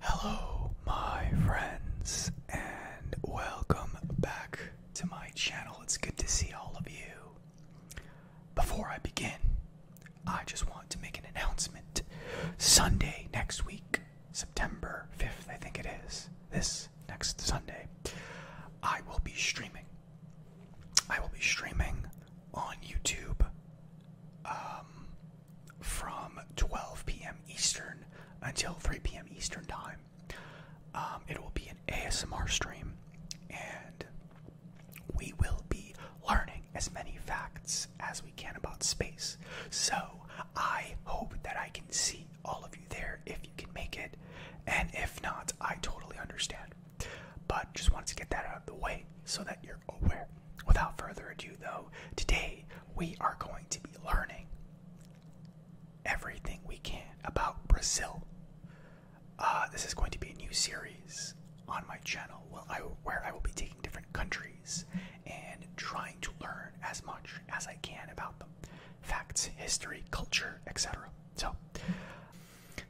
Hello, my friends, and welcome back to my channel. It's good to see all of you. Before I begin, I just want to make an announcement. Sunday next week, September 5th, I think it is, this next Sunday, I will be streaming. I will be streaming on YouTube. Um, from 12 p.m. Eastern until 3 p.m. Eastern time. Um, it will be an ASMR stream, and we will be learning as many facts as we can about space. So I hope that I can see all of you there if you can make it, and if not, I totally understand. But just wanted to get that out of the way so that you're aware. Without further ado, though, today we are going to be learning everything we can about Brazil. Uh, this is going to be a new series on my channel where I will be taking different countries and trying to learn as much as I can about them facts, history, culture, etc. So,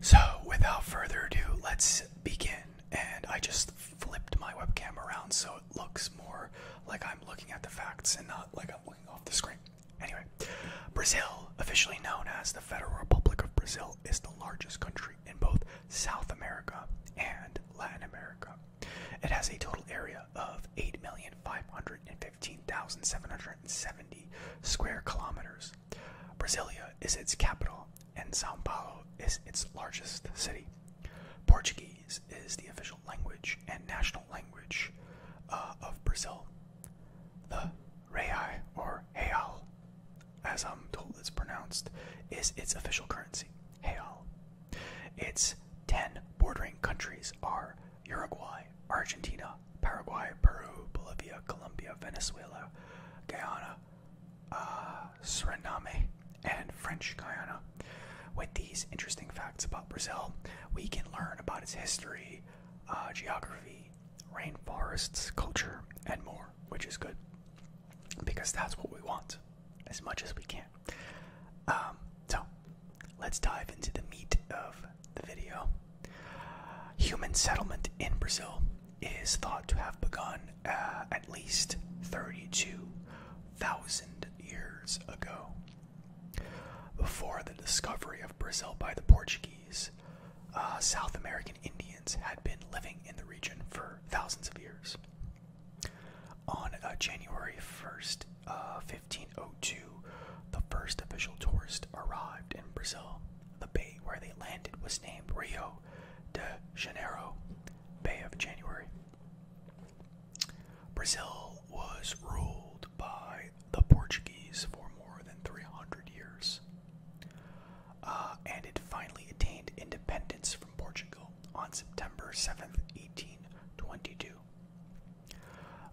so without further ado, let's begin and I just flipped my webcam around so it looks more like I'm looking at the facts and not like I'm looking off the screen. Anyway, Brazil, officially known as the Federal Republic of Brazil, is the largest country in both South America and Latin America. It has a total area of 8,515,770 square kilometers. Brasilia is its capital and Sao Paulo is its largest city. Portuguese is the official language and national language uh, of Brazil. The real, or real, as I'm told it's pronounced, is its official currency, real. Its 10 bordering countries are Uruguay, Argentina, Paraguay, Peru, Bolivia, Colombia, Venezuela, Guyana, uh, Suriname, and French Guiana. With these interesting facts about Brazil, we can learn about its history, uh, geography, rainforests, culture, and more, which is good because that's what we want as much as we can. Um, so, let's dive into the meat of the video. Human settlement in Brazil is thought to have begun uh, at least 32,000 years ago. Before the discovery of Brazil by the Portuguese, uh, South American Indians had been living in the region for thousands of years. On uh, January 1st, 1502, the first official tourist arrived in Brazil. The bay where they landed was named Rio de Janeiro, Bay of January. Brazil was ruled by the Portuguese for more than 300 years, uh, and it finally attained independence from Portugal on September 7, 1822.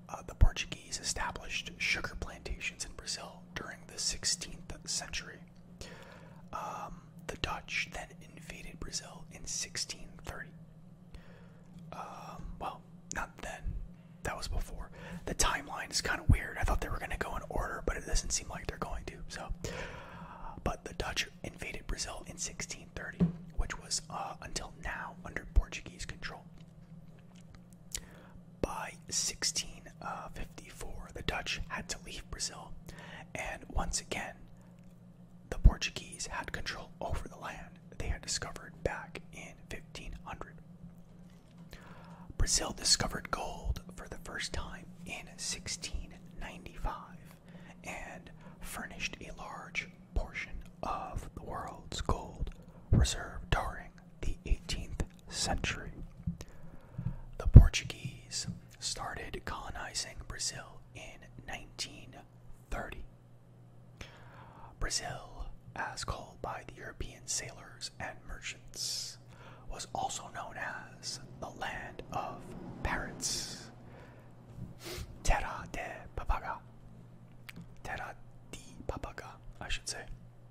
Uh, the Portuguese established sugar plantations in Brazil during the 16th century um, the Dutch then invaded Brazil in 1630. Um, well, not then. That was before. The timeline is kind of weird. I thought they were going to go in order, but it doesn't seem like they're going to. So, but the Dutch invaded Brazil in 1630, which was uh, until now under Portuguese control. By 1654, uh, the Dutch had to leave Brazil, and once again, the Portuguese had control over the land they had discovered back in 1500. Brazil discovered gold for the first time in 1695 and furnished a large portion of the world's gold reserve during the 18th century. The Portuguese started colonizing Brazil in 1930. Brazil, as called by the European sailors and merchants, was also known as the land of parrots. Terra de papaga. Terra de papaga, I should say.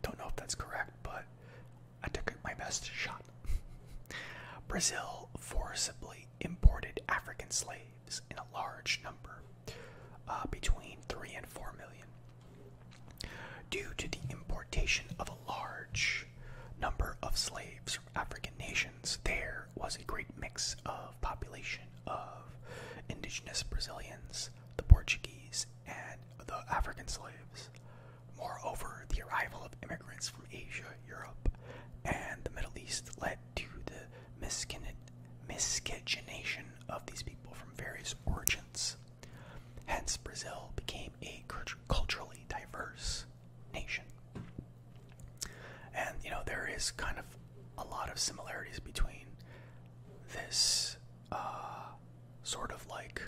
Don't know if that's correct, but I took my best shot. Brazil forcibly imported African slaves in a large number, uh, between 3 and 4 million. Due to the importation of a large number of slaves from African nations, there was a great mix of population of indigenous Brazilians, the Portuguese, and the African slaves. Moreover, the arrival of immigrants from Asia, Europe, and the Middle East led to the miscegenation of these people from various origins. Hence, Brazil became a culturally diverse nation. And, you know, there is kind of a lot of similarities between this uh, sort of like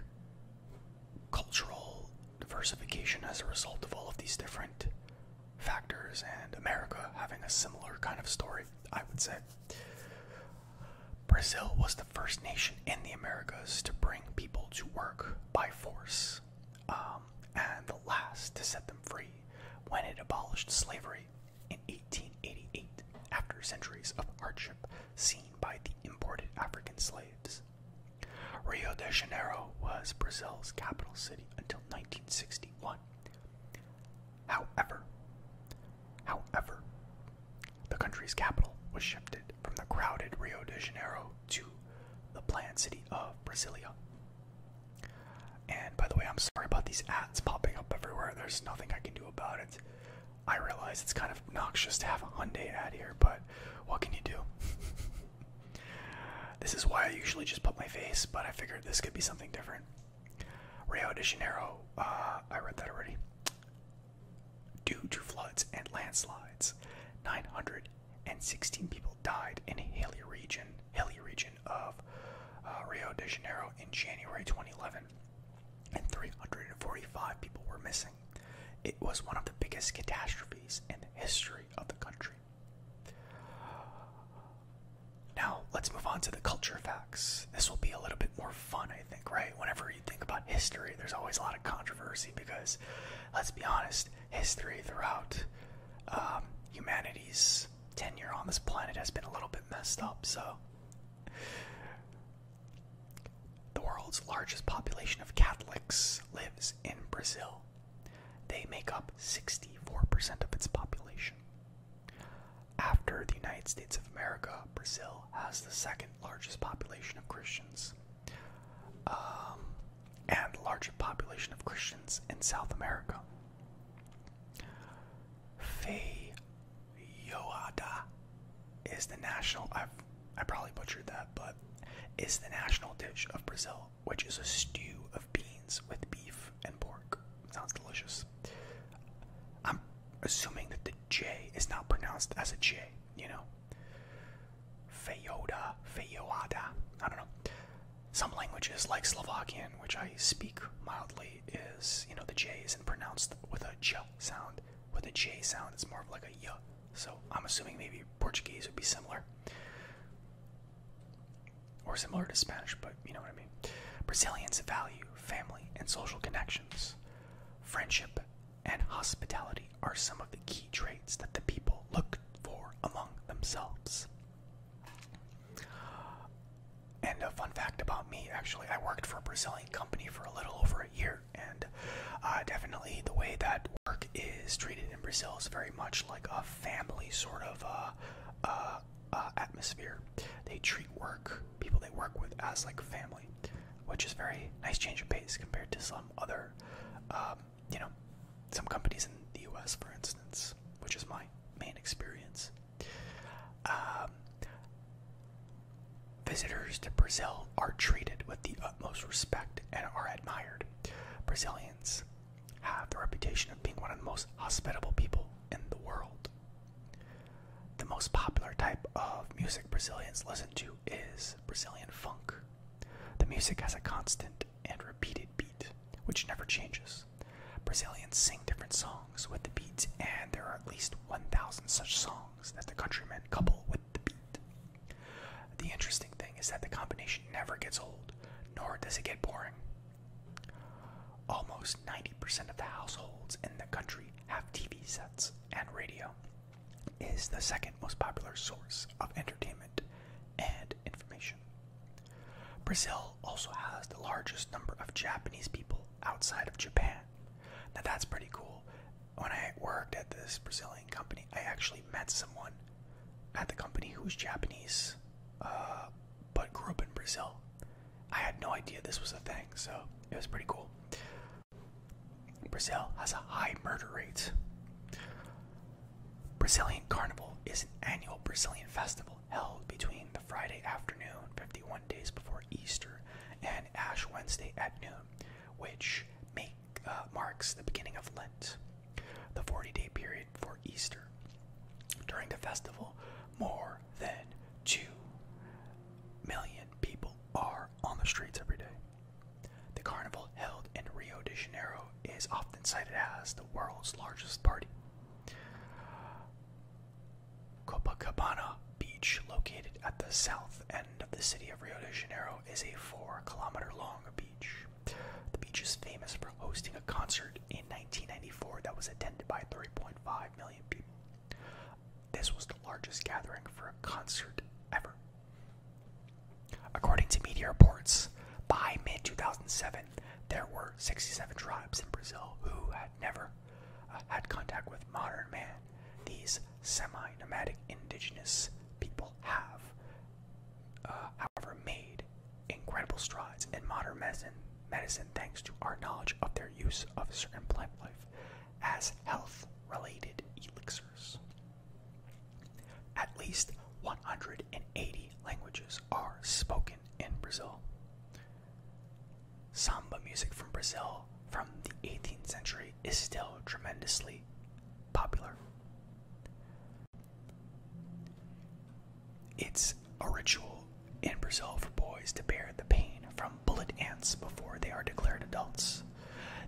cultural diversification as a result of all of these different factors, and America having a similar kind of story, I would say. Brazil was the first nation in the Americas to bring people to work by force, um, and the last to set them free when it abolished slavery in 1888 after centuries of hardship seen by the imported African slaves. Rio de Janeiro was Brazil's capital city until 1961. However, however, the country's capital was shifted from the crowded Rio de Janeiro to the planned city of Brasilia. And by the way, I'm sorry about these ads popping up everywhere. There's nothing I can do about it. I realize it's kind of noxious to have a Hyundai ad here, but what can you do? this is why I usually just pop my face, but I figured this could be something different. Rio de Janeiro, uh, I read that already. Due to floods and landslides, 916 people died in a hilly region, of uh, Rio de Janeiro in January 2011, and 345 people were missing. It was one of the biggest catastrophes in the history of the country. Now, let's move on to the culture facts. This will be a little bit more fun, I think, right? Whenever you think about history, there's always a lot of controversy because, let's be honest, history throughout um, humanity's tenure on this planet has been a little bit messed up, so. The world's largest population of Catholics lives in Brazil. They make up 64% of its population. After the United States of America, Brazil has the second largest population of Christians um, and largest population of Christians in South America. Feyoada is the national I probably butchered that, but it's the national dish of Brazil, which is a stew of beans with beef and pork. Sounds delicious. I'm assuming that the J is not pronounced as a J, you know? Feyoda, feyoada, I don't know. Some languages, like Slovakian, which I speak mildly, is, you know, the J isn't pronounced with a J sound. With a J sound, it's more of like a Y so I'm assuming maybe Portuguese would be similar. Or similar to Spanish, but you know what I mean. Brazilians value family and social connections. Friendship and hospitality are some of the key traits that the people look for among themselves. And a fun fact about me actually, I worked for a Brazilian company for a little over a year. And uh, definitely the way that work is treated in Brazil is very much like a family sort of uh, uh, atmosphere. They treat work, people they work with, as like family, which is very nice change of pace compared to some other, um, you know, some companies in the U.S. for instance, which is my main experience. Um, Visitors to Brazil are treated with the utmost respect and are admired. Brazilians have the reputation of being one of the most hospitable people in the world. The most popular type of music Brazilians listen to is Brazilian funk. The music has a constant and repeated beat, which never changes. Brazilians sing different songs with the beats, and there are at least 1,000 such songs that the countrymen couple with the beat. The interesting thing is that the combination never gets old, nor does it get boring. Almost 90% of the households in the country have TV sets, and radio is the second most popular source of entertainment and information. Brazil also has the largest number of Japanese people outside of Japan. Now that's pretty cool. When I worked at this Brazilian company. I actually met someone at the company who was Japanese, uh, but grew up in Brazil. I had no idea this was a thing, so it was pretty cool. Brazil has a high murder rate. Brazilian Carnival is an annual Brazilian festival held between the Friday afternoon, 51 days before Easter, and Ash Wednesday at noon, which may uh, marks the beginning of Lent, the 40 day period for Easter. During the festival, more than 2 million people are on the streets every day. The carnival held in Rio de Janeiro is often cited as the world's largest party. Copacabana Beach, located at the south end of the city of Rio de Janeiro, is a four kilometer long beach. The beach is famous for hosting a concert in 1994 that was attended by 3.5 million people. This was the largest gathering for a concert ever. According to media reports, by mid 2007, there were 67 tribes in Brazil who had never uh, had contact with modern man these semi nomadic indigenous people have, uh, however, made incredible strides in modern medicine, medicine thanks to our knowledge of their use of certain plant life as health related elixirs. At least 180 languages are spoken in Brazil. Samba music from Brazil from the 18th century is still tremendously popular. It's a ritual in Brazil for boys to bear the pain from bullet ants before they are declared adults.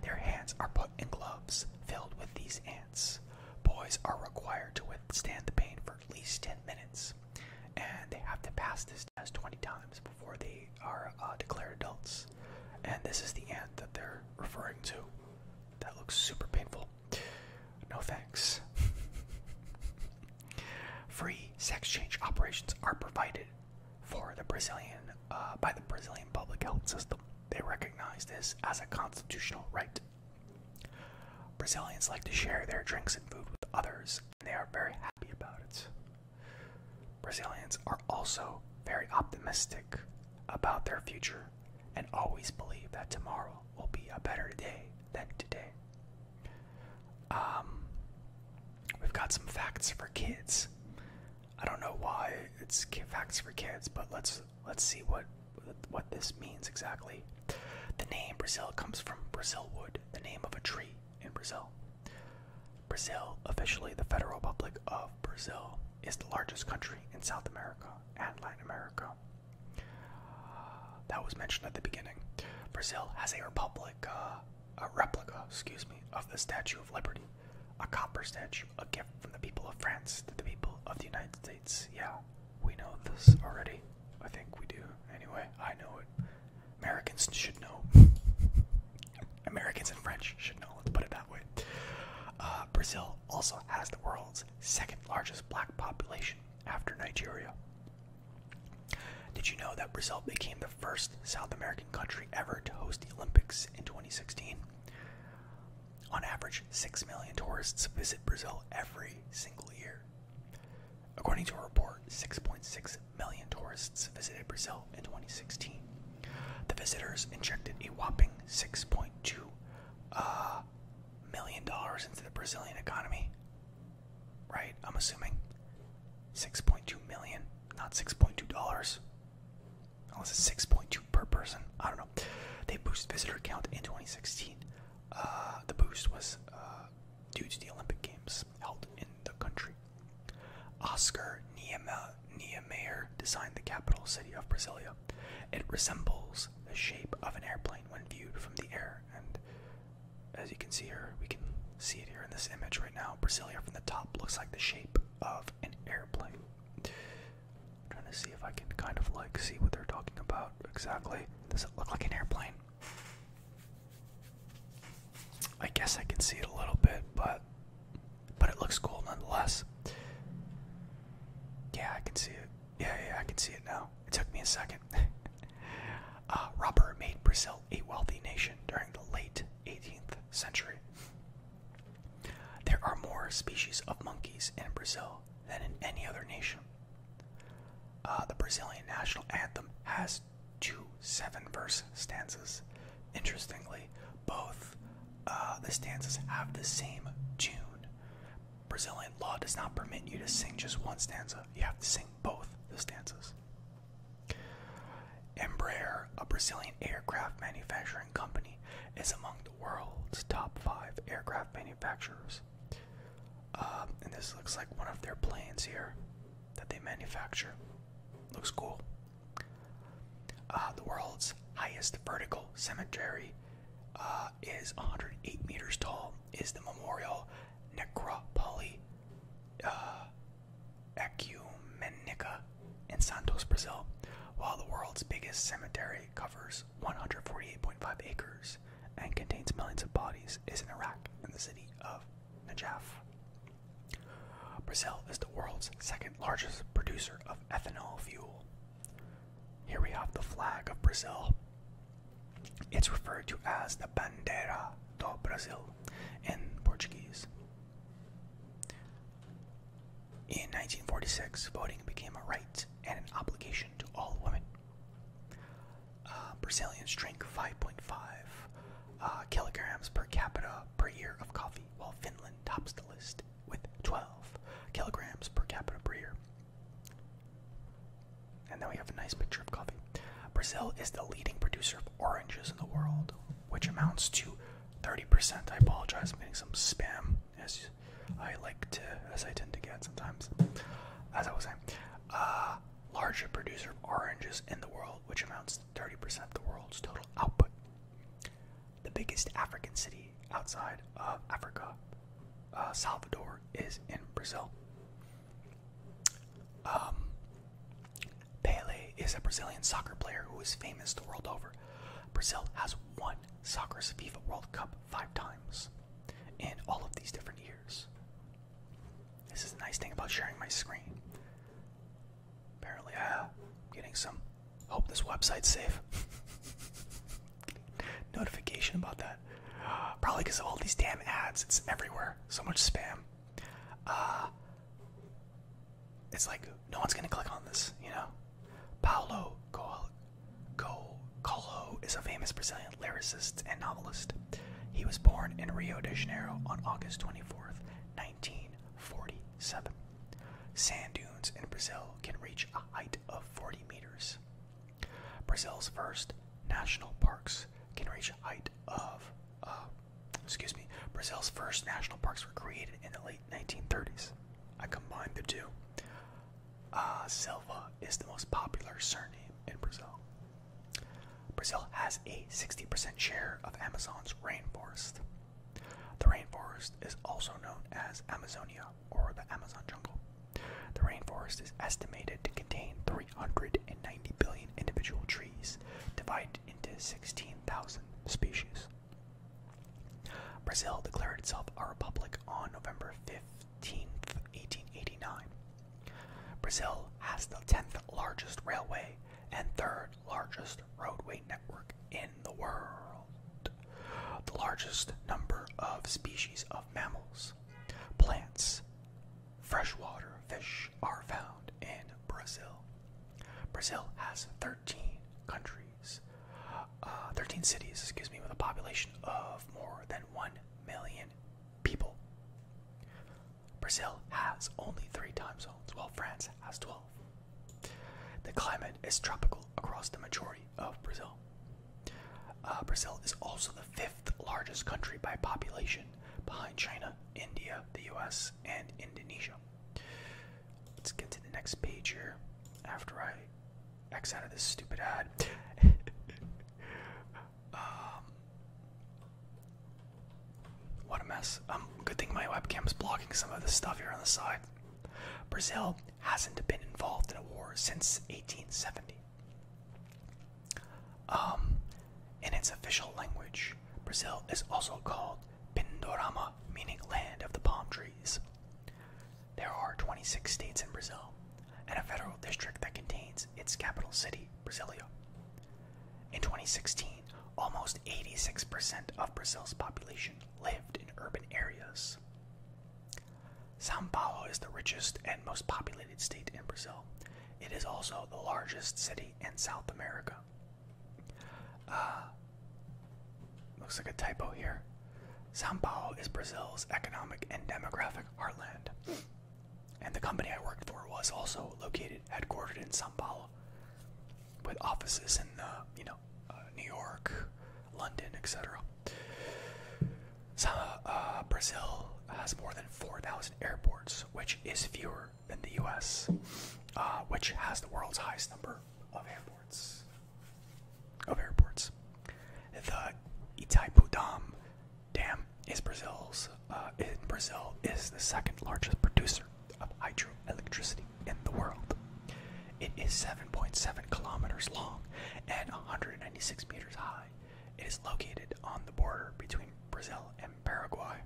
Their hands are put in gloves filled with these ants. Boys are required to withstand the pain for at least 10 minutes, and they have to pass this test 20 times before they are uh, declared adults. And this is the ant that they're referring to. That looks super painful. No thanks. Free sex change operations are provided for the Brazilian uh, by the Brazilian public health system. They recognize this as a constitutional right. Brazilians like to share their drinks and food with others, and they are very happy about it. Brazilians are also very optimistic about their future and always believe that tomorrow will be a better day than today. Um, we've got some facts for kids. I don't know why it's facts for kids, but let's let's see what what this means exactly. The name Brazil comes from Brazil wood, the name of a tree in Brazil. Brazil, officially the Federal Republic of Brazil, is the largest country in South America and Latin America. That was mentioned at the beginning. Brazil has uh, a replica, excuse me, of the Statue of Liberty, a copper statue, a gift from the people of France to the people of the United States. Yeah, we know this already. I think we do. Anyway, I know it. Americans should know. Americans and French should know, let's put it that way. Uh, Brazil also has the world's second largest black population after Nigeria. Did you know that Brazil became the first South American country ever to host the Olympics in 2016? On average, 6 million tourists visit Brazil every single year. According to a report, 6.6 million tourists visited Brazil in 2016. The visitors injected a whopping 6.2 uh, million dollars into the Brazilian economy. Right? I'm assuming 6.2 million, not 6.2 dollars. Unless it's 6.2 per person. I don't know. They boosted visitor count in 2016. Uh, the boost was uh, due to the Olympic Games held in the country. Oscar Niemeyer designed the capital city of Brasilia. It resembles the shape of an airplane when viewed from the air, and as you can see here, we can see it here in this image right now. Brasilia from the top looks like the shape of an airplane. trying to see if I can kind of like see what they're talking about exactly. Does it look like an airplane? I guess I can see it a little bit, but but it looks cool nonetheless. Yeah, I can see it. Yeah, yeah, I can see it now. It took me a second. uh, rubber made Brazil a wealthy nation during the late 18th century. There are more species of monkeys in Brazil than in any other nation. Uh, the Brazilian national anthem has two seven verse stanzas. Interestingly, both uh, the stanzas have the same tune. Brazilian law does not permit you to sing just one stanza, you have to sing both the stanzas. Embraer, a Brazilian aircraft manufacturing company, is among the world's top five aircraft manufacturers. Um, and this looks like one of their planes here that they manufacture. Looks cool. Uh, the world's highest vertical cemetery uh, is 108 meters tall. Is the Memorial Necropoli uh, Ecumenica in Santos, Brazil, while the world's biggest cemetery covers 148.5 acres and contains millions of bodies, is in Iraq in the city of Najaf. Brazil is the world's second largest producer of ethanol fuel. Here we have the flag of Brazil. It's referred to as the Bandeira do Brasil in Portuguese. In 1946, voting became a right and an obligation to all women. Uh, Brazilians drink 5.5 uh, kilograms per capita per year of coffee, while Finland tops the list with 12 kilograms per capita per year. And then we have a nice picture of coffee. Brazil is the leading producer of oranges in the world, which amounts to 30%. I apologize, I'm getting some spam, as I like to, as I tend to get sometimes. As I was saying, uh, largest producer of oranges in the world, which amounts to 30% of the world's total output. The biggest African city outside of Africa, uh, Salvador, is in Brazil. Um, Pele is a Brazilian soccer player who is famous the world over. Brazil has won soccer's FIFA World Cup five times in all of these different years. This is the nice thing about sharing my screen. Apparently, I'm uh, getting some. Hope this website's safe. Notification about that. Probably because of all these damn ads. It's everywhere. So much spam. Uh, it's like no one's gonna click on this, you know. Paulo Coelho, Coelho is a famous Brazilian lyricist and novelist. He was born in Rio de Janeiro on August 24th, 1940. 7. Sand dunes in Brazil can reach a height of 40 meters. Brazil's first national parks can reach a height of, uh, excuse me, Brazil's first national parks were created in the late 1930s. I combined the two. Uh, Silva is the most popular surname in Brazil. Brazil has a 60% share of Amazon's rainforest. The rainforest is also known as Amazonia or the Amazon jungle. The rainforest is estimated to contain 390 billion individual trees, divided into 16,000 species. Brazil declared itself a republic on November 15, 1889. Brazil has the 10th largest railway and third largest roadway network in the world, the largest number of species of mammals, plants, freshwater fish are found in Brazil. Brazil has 13 countries, uh, 13 cities, excuse me, with a population of more than 1 million people. Brazil has only three time zones, while France has 12. The climate is tropical across the majority of Brazil. Uh, Brazil is also the fifth largest country by population behind China, India, the US, and Indonesia. Let's get to the next page here after I X out this stupid ad. Um, what a mess. Um, good thing my webcam is blocking some of the stuff here on the side. Brazil hasn't been involved in a war since 1870. Um, in its official language, Brazil is also called Pindorama, meaning land of the palm trees. There are 26 states in Brazil and a federal district that contains its capital city, Brasilia. In 2016, almost 86% of Brazil's population lived in urban areas. Sao Paulo is the richest and most populated state in Brazil. It is also the largest city in South America. Uh, looks like a typo here. Sao Paulo is Brazil's economic and demographic heartland. And the company I worked for was also located, headquartered in Sao Paulo with offices in uh, you know uh, New York, London, etc. Uh, Brazil has more than 4,000 airports, which is fewer than the U.S., which has the world's highest number of airports. Of airports, the Itaipu Dam dam is Brazil's. in Brazil, is the second largest producer of hydroelectricity in the world. It is 7.7 kilometers long and 196 meters high. It is located on the border between Brazil and Paraguay.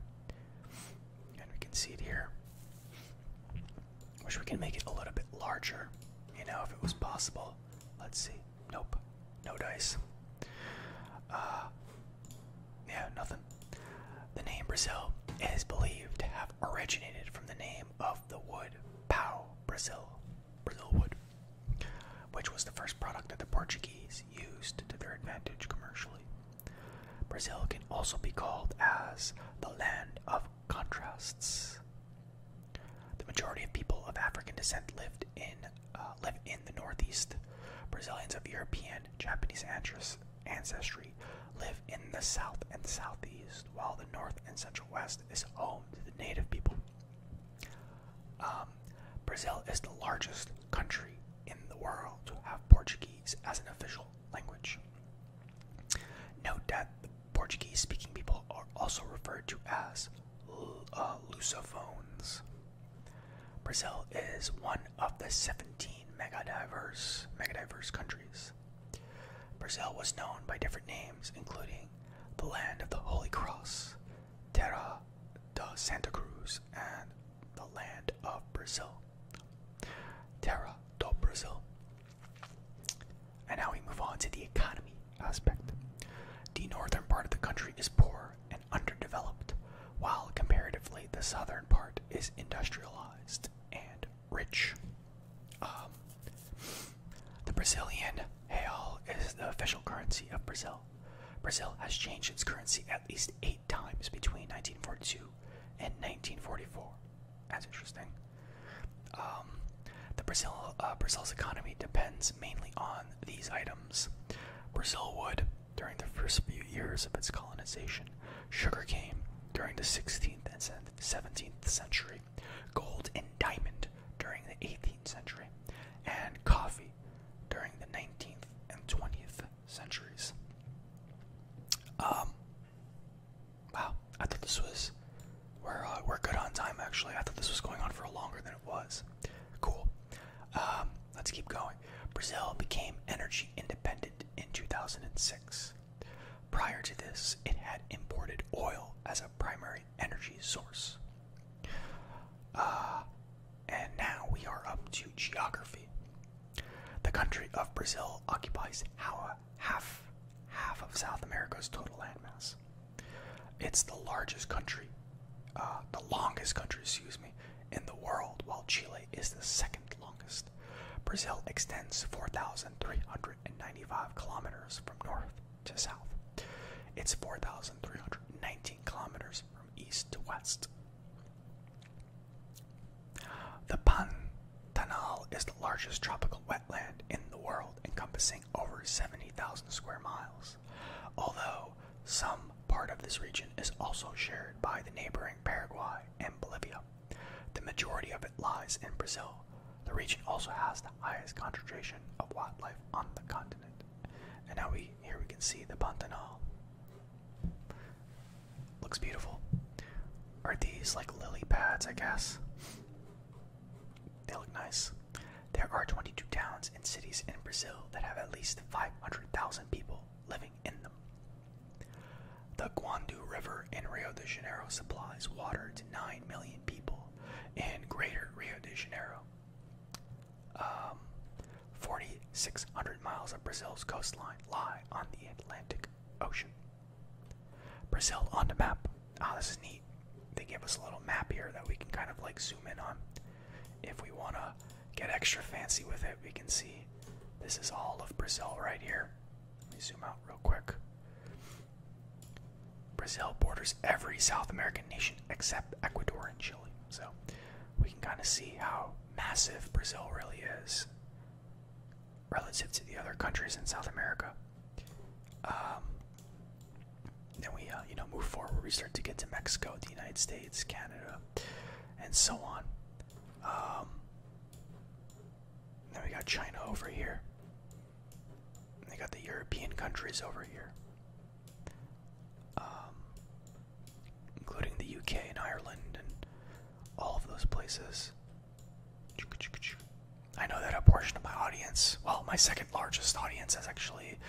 And we can see it here. Wish we can make it a little bit larger, you know, if it was possible. Let's see. Nope. No dice. Uh, yeah, nothing. The name Brazil is believed to have originated from the name of the wood pau Brazil, Brazil wood, which was the first product that the Portuguese used to their advantage commercially. Brazil can also be called as the land of contrasts. The majority of people of African descent lived in uh, live in the northeast. Brazilians of European, Japanese ancestry ancestry live in the south and southeast, while the north and central west is home to the native people. Um, Brazil is the largest country in the world to have Portuguese as an official language. Note that the Portuguese speaking people are also referred to as uh, Lusophones. Brazil is one of the 17 megadiverse, megadiverse countries. Brazil was known by different names, including the Land of the Holy Cross, Terra da Santa Cruz, and the Land of Brazil. Terra do Brazil. And now we move on to the economy aspect. The northern part of the country is poor underdeveloped, while comparatively the southern part is industrialized and rich. Um, the Brazilian real is the official currency of Brazil. Brazil has changed its currency at least eight times between 1942 and 1944. That's interesting. Um, the Brazil, uh, Brazil's economy depends mainly on these items. Brazil wood, during the first few years of its colonization, sugar sugarcane during the 16th and 17th century, gold and diamond during the 18th century, and coffee during the 19th and 20th centuries. Um, wow, I thought this was we're uh, we're good on time actually. I thought this was going on for longer than it was. Cool. Um, let's keep going. Brazil became energy independent in 2006. Prior to this, it had imported oil as a primary energy source. Uh, and now we are up to geography. The country of Brazil occupies half, half of South America's total landmass. It's the largest country, uh, the longest country, excuse me, in the world, while Chile is the second longest. Brazil extends 4,395 kilometers from north to south. It's 4,319 kilometers from east to west. The Pantanal is the largest tropical wetland in the world, encompassing over 70,000 square miles. Although some part of this region is also shared by the neighboring Paraguay and Bolivia, the majority of it lies in Brazil. The region also has the highest concentration of wildlife on the continent. And now we here we can see the Pantanal. Looks beautiful. Are these like lily pads, I guess? They look nice. There are 22 towns and cities in Brazil that have at least 500,000 people living in them. The Guandu River in Rio de Janeiro supplies water to 9 million people in greater Rio de Janeiro. Um, 4,600 miles of Brazil's coastline lie on the Atlantic Ocean. Brazil on the map. Ah, this is neat. They give us a little map here that we can kind of like zoom in on. If we want to get extra fancy with it, we can see this is all of Brazil right here. Let me zoom out real quick. Brazil borders every South American nation except Ecuador and Chile. So we can kind of see how massive Brazil really is relative to the other countries in South America. Um, then we, uh, you know, move forward. We start to get to Mexico, the United States, Canada, and so on. Um, then we got China over here. We they got the European countries over here, um, including the UK and Ireland and all of those places. I know that a portion of my audience, well, my second largest audience, is actually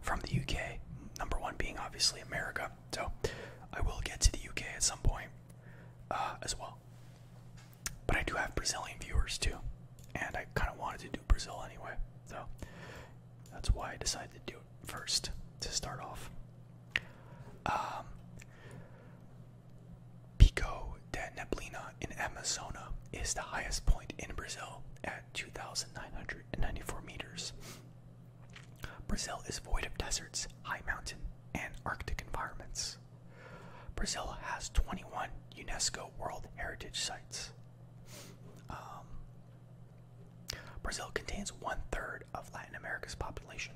from the UK. Number one being obviously America. So I will get to the UK at some point uh, as well. But I do have Brazilian viewers too, and I kind of wanted to do Brazil anyway, so that's why I decided to do it first to start off. Um, Pico de Neblina in Amazona is the highest point in Brazil at 2,994 meters. Brazil is void of deserts, high mountain, and Arctic environments. Brazil has 21 UNESCO World Heritage Sites. Um, Brazil contains one third of Latin America's population.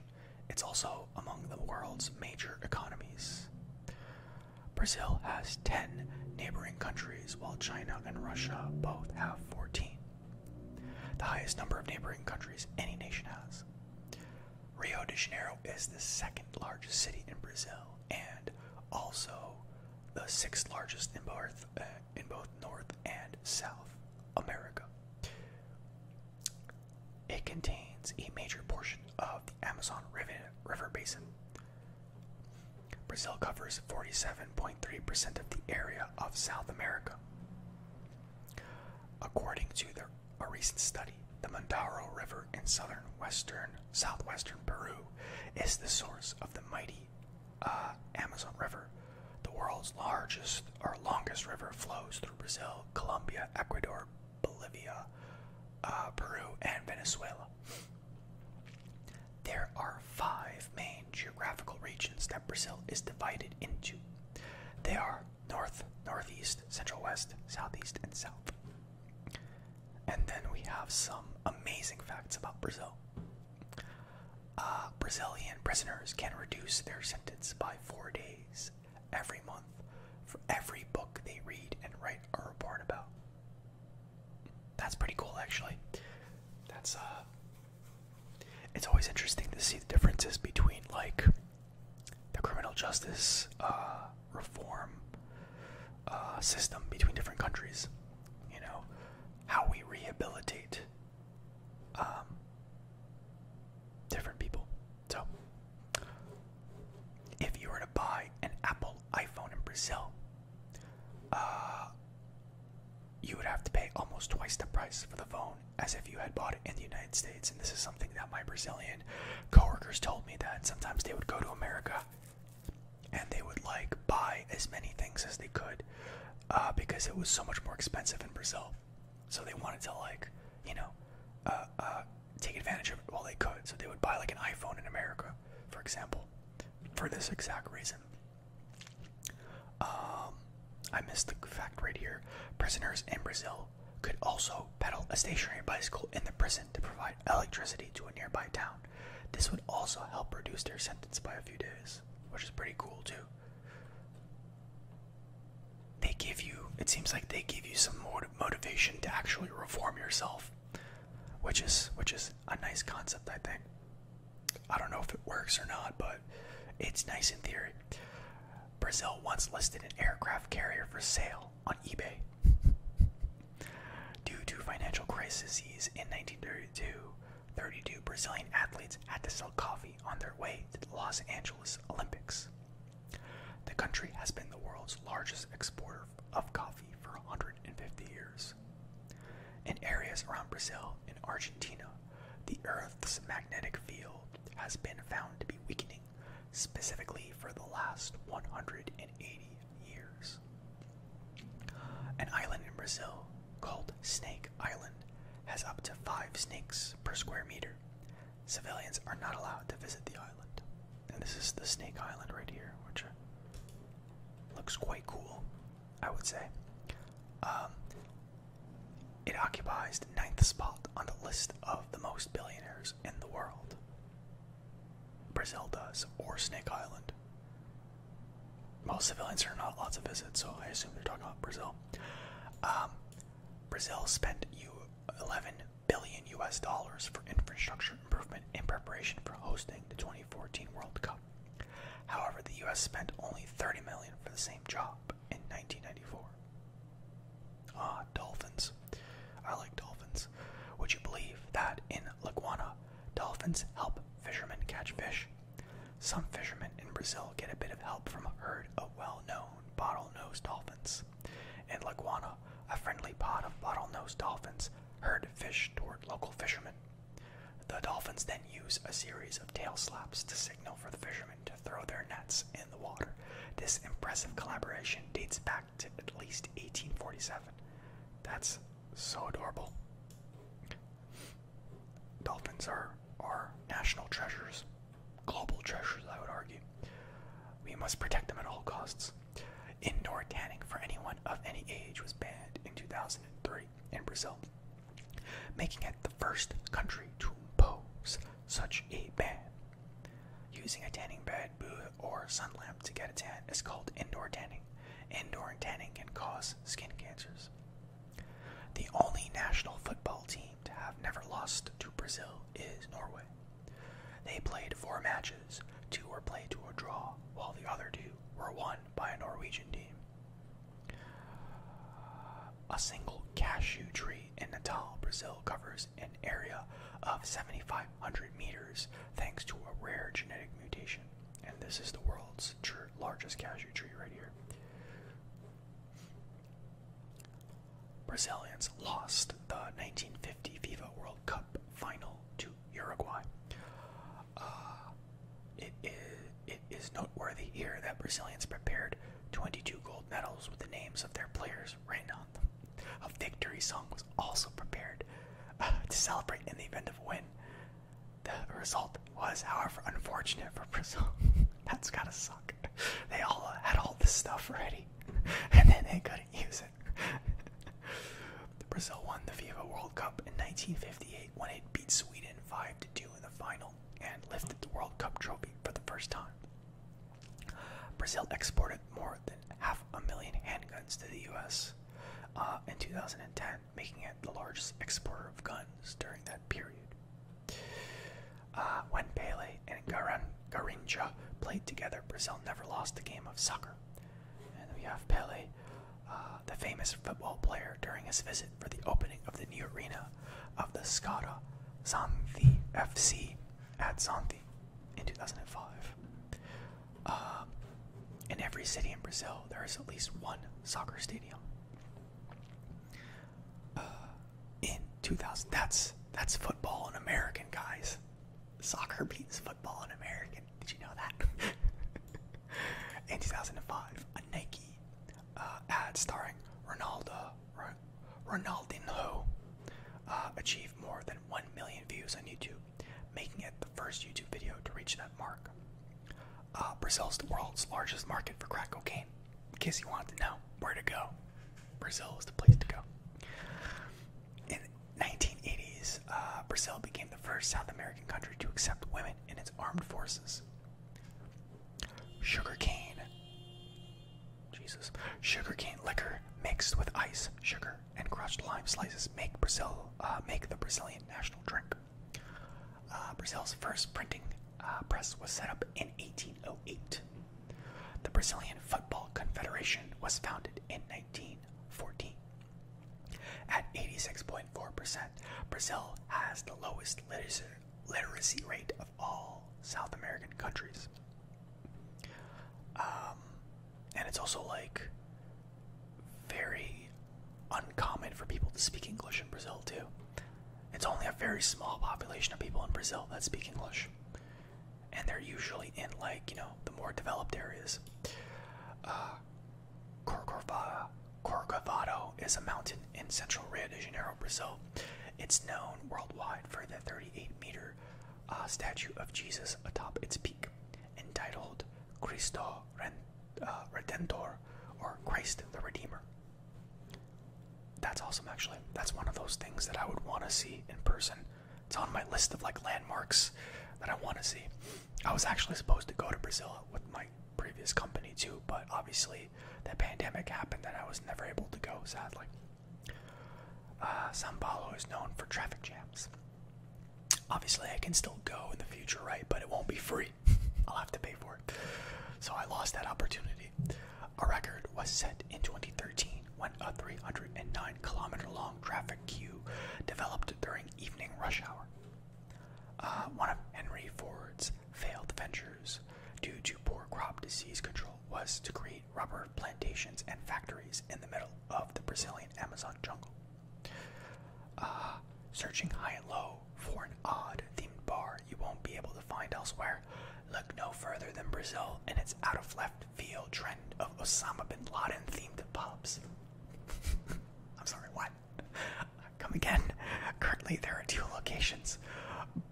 It's also among the world's major economies. Brazil has 10 neighboring countries, while China and Russia both have 14 the highest number of neighboring countries any nation has. Rio de Janeiro is the second largest city in Brazil and also the sixth largest in both, uh, in both North and South America. It contains a major portion of the Amazon river Basin. Brazil covers 47.3% of the area of South America. According to a recent study, the Mandaro River in southern western southwestern Peru is the source of the mighty uh, Amazon River. The world's largest or longest river flows through Brazil, Colombia, Ecuador, Bolivia, uh, Peru, and Venezuela. There are five main geographical regions that Brazil is divided into. They are north, northeast, central west, southeast, and south. And then we have some amazing facts about Brazil. Uh, Brazilian prisoners can reduce their sentence by four days every month for every book they read and write a report about. That's pretty cool, actually. That's uh, it's always interesting to see the differences between like the criminal justice uh, reform uh, system between different countries. You know how we rehabilitate um, different people. So, if you were to buy an Apple iPhone in Brazil, uh, you would have to pay almost twice the price for the phone as if you had bought it in the United States. And this is something that my Brazilian coworkers told me that sometimes they would go to America and they would like buy as many things as they could uh, because it was so much more expensive in Brazil. So they wanted to like, you know, uh, uh, take advantage of it while they could. So they would buy like an iPhone in America, for example, for this exact reason. Um, I missed the fact right here. Prisoners in Brazil could also pedal a stationary bicycle in the prison to provide electricity to a nearby town. This would also help reduce their sentence by a few days, which is pretty cool too. They give you, it seems like they give you some more motivation to actually reform yourself, which is which is a nice concept, I think. I don't know if it works or not, but it's nice in theory. Brazil once listed an aircraft carrier for sale on eBay. Due to financial crises in 1932, 32 Brazilian athletes had to sell coffee on their way to the Los Angeles Olympics. The country has been the world's largest exporter of coffee for 150 years. In areas around Brazil, in Argentina, the Earth's magnetic field has been found to be weakening, specifically for the last 180 years. An island in Brazil called Snake Island has up to five snakes per square meter. Civilians are not allowed to visit the island. And this is the Snake Island right here, which uh, looks quite cool, I would say. Um, it occupies ninth spot on the list of the most billionaires in the world. Brazil does, or Snake Island. Most civilians are not allowed to visit, so I assume they're talking about Brazil. Um, Brazil spent U 11 billion US dollars for infrastructure improvement in preparation for hosting the 2014 World Cup. However, the US spent only 30 million for the same job in 1994. Ah, dolphins. I like dolphins. Would you believe that in Laguana, dolphins help fishermen catch fish? Some fishermen in Brazil get a bit of help from a herd of well-known bottlenose dolphins. In Laguana, a friendly pod of bottlenose dolphins herd fish toward local fishermen. The dolphins then use a series of tail slaps to signal for the fishermen to throw their nets in the water. This impressive collaboration dates back to at least 1847. That's so adorable. Dolphins are our national treasures, global treasures, I would argue. We must protect them at all costs. Indoor tanning for anyone of any age was banned in 2003 in Brazil making it the first country to impose such a ban. Using a tanning bed, booth, or sun lamp to get a tan is called indoor tanning. Indoor tanning can cause skin cancers. The only national football team to have never lost to Brazil is Norway. They played four matches, two were played to a draw, while the other two were won by a Norwegian team. A single cashew tree in Natal, Brazil covers an area of 7,500 meters thanks to a rare genetic mutation. And this is the world's largest cashew tree right here. Brazilians lost the 1950 FIFA World Cup final to Uruguay. Uh, it is, noteworthy here that Brazilians prepared 22 gold medals with the names of their players written on them. A victory song was also prepared uh, to celebrate in the event of a win. The result was, however, unfortunate for Brazil. That's gotta suck. They all had all this stuff ready, and then they couldn't use it. Brazil won the FIFA World Cup in 1958 when it beat Sweden 5 to 2 in the final and lifted the World Cup trophy for the first time. Brazil exported more than half a million handguns to the US uh, in 2010, making it the largest exporter of guns during that period. Uh, when Pele and Garan Garincha played together, Brazil never lost a game of soccer. And we have Pele uh, the famous football player during his visit for the opening of the new arena of the Skara Xanthi FC at Xanthi in 2005. Uh, in every city in Brazil, there is at least one soccer stadium. Uh, in 2000, that's that's football in American guys. Soccer beats football in American. Did you know that? in 2005, a Nike uh, ad starring Ronaldo R Ronaldinho uh, achieved more than 1 million views on YouTube, making it the first YouTube video to reach that mark. Uh, Brazil is the world's largest market for crack cocaine. In case you wanted to know where to go, Brazil is the place to go. In the 1980s, uh, Brazil became the first South American country to accept women in its armed forces. Sugar cane. Jesus. Sugarcane liquor mixed with ice, sugar, and crushed lime slices make Brazil uh, make the Brazilian national drink. Uh, Brazil's first printing uh, press was set up in 1808. The Brazilian Football Confederation was founded in 1914. At 86.5 6.4%. Brazil has the lowest literacy, rate of all South American countries. Um, and it's also like very uncommon for people to speak English in Brazil, too. It's only a very small population of people in Brazil that speak English. And they're usually in, like, you know, the more developed areas. Uh, Corcovado, is a mountain in central Rio de Janeiro, Brazil. It's known worldwide for the 38-meter uh, statue of Jesus atop its peak, entitled Cristo uh, Redentor, or Christ the Redeemer. That's awesome, actually. That's one of those things that I would want to see in person. It's on my list of like landmarks that I want to see. I was actually supposed to go to Brazil with my previous company too, but obviously the pandemic happened and I was never able to go, sadly. Uh, Sao Paulo is known for traffic jams. Obviously, I can still go in the future, right? But it won't be free. I'll have to pay for it. So I lost that opportunity. A record was set in 2013 when a 309 kilometer long traffic queue developed during evening rush hour. Uh, one of Henry Ford's failed ventures, due to poor crop disease control, was to create rubber plantations and factories in the middle of the Brazilian Amazon jungle. Uh, searching high and low for an odd themed bar you won't be able to find elsewhere. Look no further than Brazil and its out of left field trend of Osama bin Laden themed pubs. I'm sorry, what? Come again. Currently, there are two locations.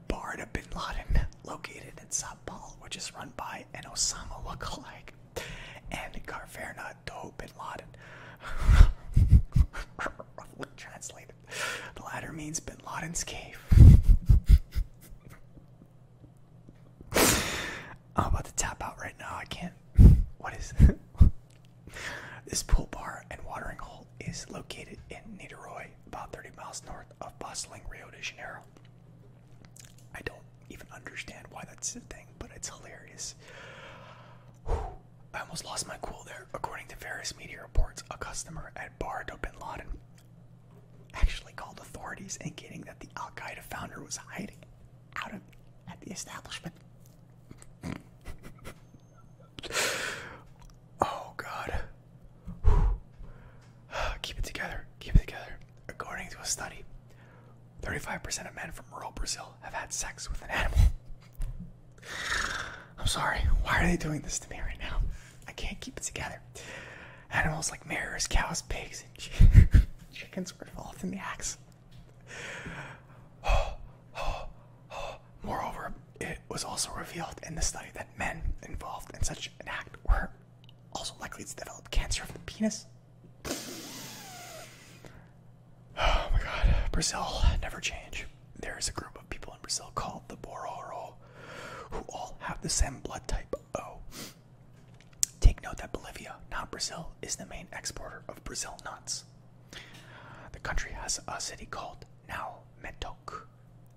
barred Barda bin Laden, located in Sabal, which is run by an Osama lookalike, and Garverna Doe bin Laden, roughly translated. The latter means bin Laden's cave. I'm about to tap out right now. I can't. What is? it? This pool bar and watering hole is located in Niterói, about 30 miles north of bustling Rio de Janeiro. I don't even understand why that's a thing, but it's hilarious. I almost lost my cool there. According to various media reports, a customer at Bar do Bin Laden actually called authorities indicating that the Al Qaeda founder was hiding out at the establishment oh God. Keep it together. Keep it together. According to a study, 35% of men from rural Brazil have had sex with an animal. I'm sorry. Why are they doing this to me right now? I can't keep it together. Animals like mirrors, cows, pigs, and chickens were involved in the acts. Moreover, it was also revealed in the study that men involved in such an act were also likely to develop cancer of the penis. Oh my god, Brazil never change. There is a group of people in Brazil called the Bororo who all have the same blood type O. Take note that Bolivia, not Brazil, is the main exporter of Brazil nuts. The country has a city called Now Metok.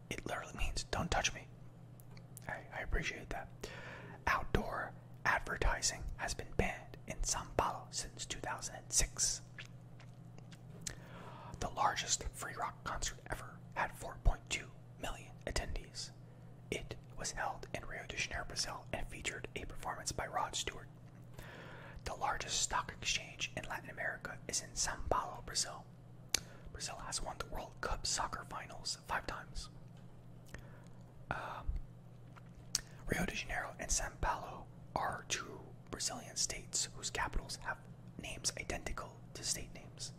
It literally means don't touch me. I, I appreciate that. Outdoor advertising has been banned in Sao Paulo since 2006. The largest free rock concert ever had 4.2 million attendees. It was held in Rio de Janeiro, Brazil, and featured a performance by Rod Stewart, the largest stock exchange in Latin America is in Sao Paulo, Brazil. Brazil has won the World Cup soccer finals five times. Um, Rio de Janeiro and Sao Paulo are two Brazilian states whose capitals have names identical to state names.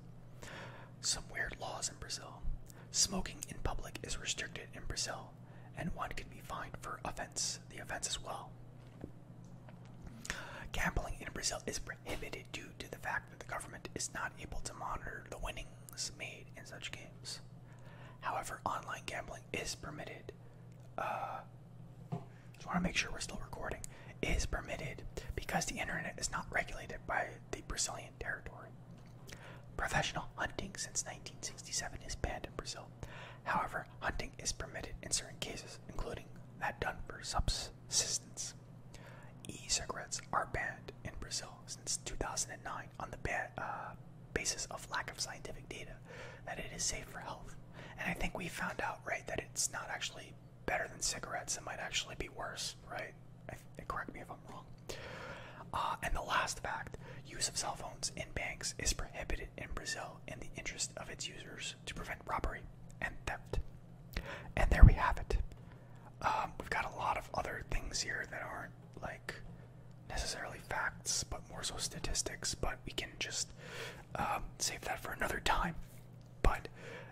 Some weird laws in Brazil. Smoking in public is restricted in Brazil and one can be fined for offense, the offense as well. Gambling in Brazil is prohibited due to the fact that the government is not able to monitor the winnings made in such games. However, online gambling is permitted. Uh, just want to make sure we're still recording. Is permitted because the internet is not regulated by the Brazilian territory. Professional hunting since 1967 is banned in Brazil. However, hunting is permitted in certain cases, including that done for subsistence. E-cigarettes are banned in Brazil since 2009 on the uh, basis of lack of scientific data that it is safe for health. And I think we found out, right, that it's not actually better than cigarettes. It might actually be worse, right? correct me if I'm wrong. Uh, and the last fact Use of cell phones in banks is prohibited in Brazil in the interest of its users to prevent robbery and theft. And there we have it. Um, we've got a lot of other things here that aren't like necessarily facts, but more so statistics, but we can just um, save that for another time. But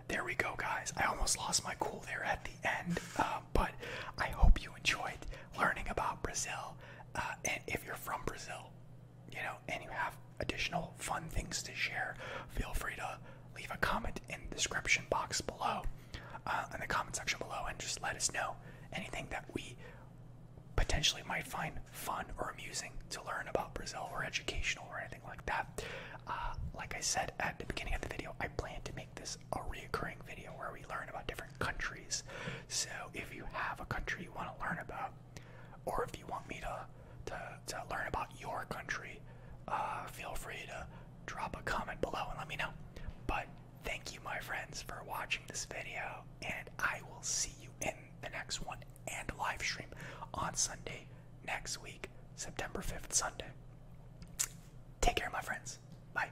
there we go, guys. I almost lost my cool there at the end, um, but I hope you enjoyed learning about Brazil uh, and if you're from Brazil, you know, and you have additional fun things to share, feel free to leave a comment in the description box below, uh, in the comment section below, and just let us know anything that we potentially might find fun or amusing to learn about Brazil or educational or anything like that. Uh, like I said at the beginning of the video, I plan to make this a reoccurring video where we learn about different countries so if you have a country you want to learn about, or if you want me to to, learn about your country, uh, feel free to drop a comment below and let me know. But thank you, my friends, for watching this video, and I will see you in the next one and live stream on Sunday next week, September 5th, Sunday. Take care, my friends. Bye.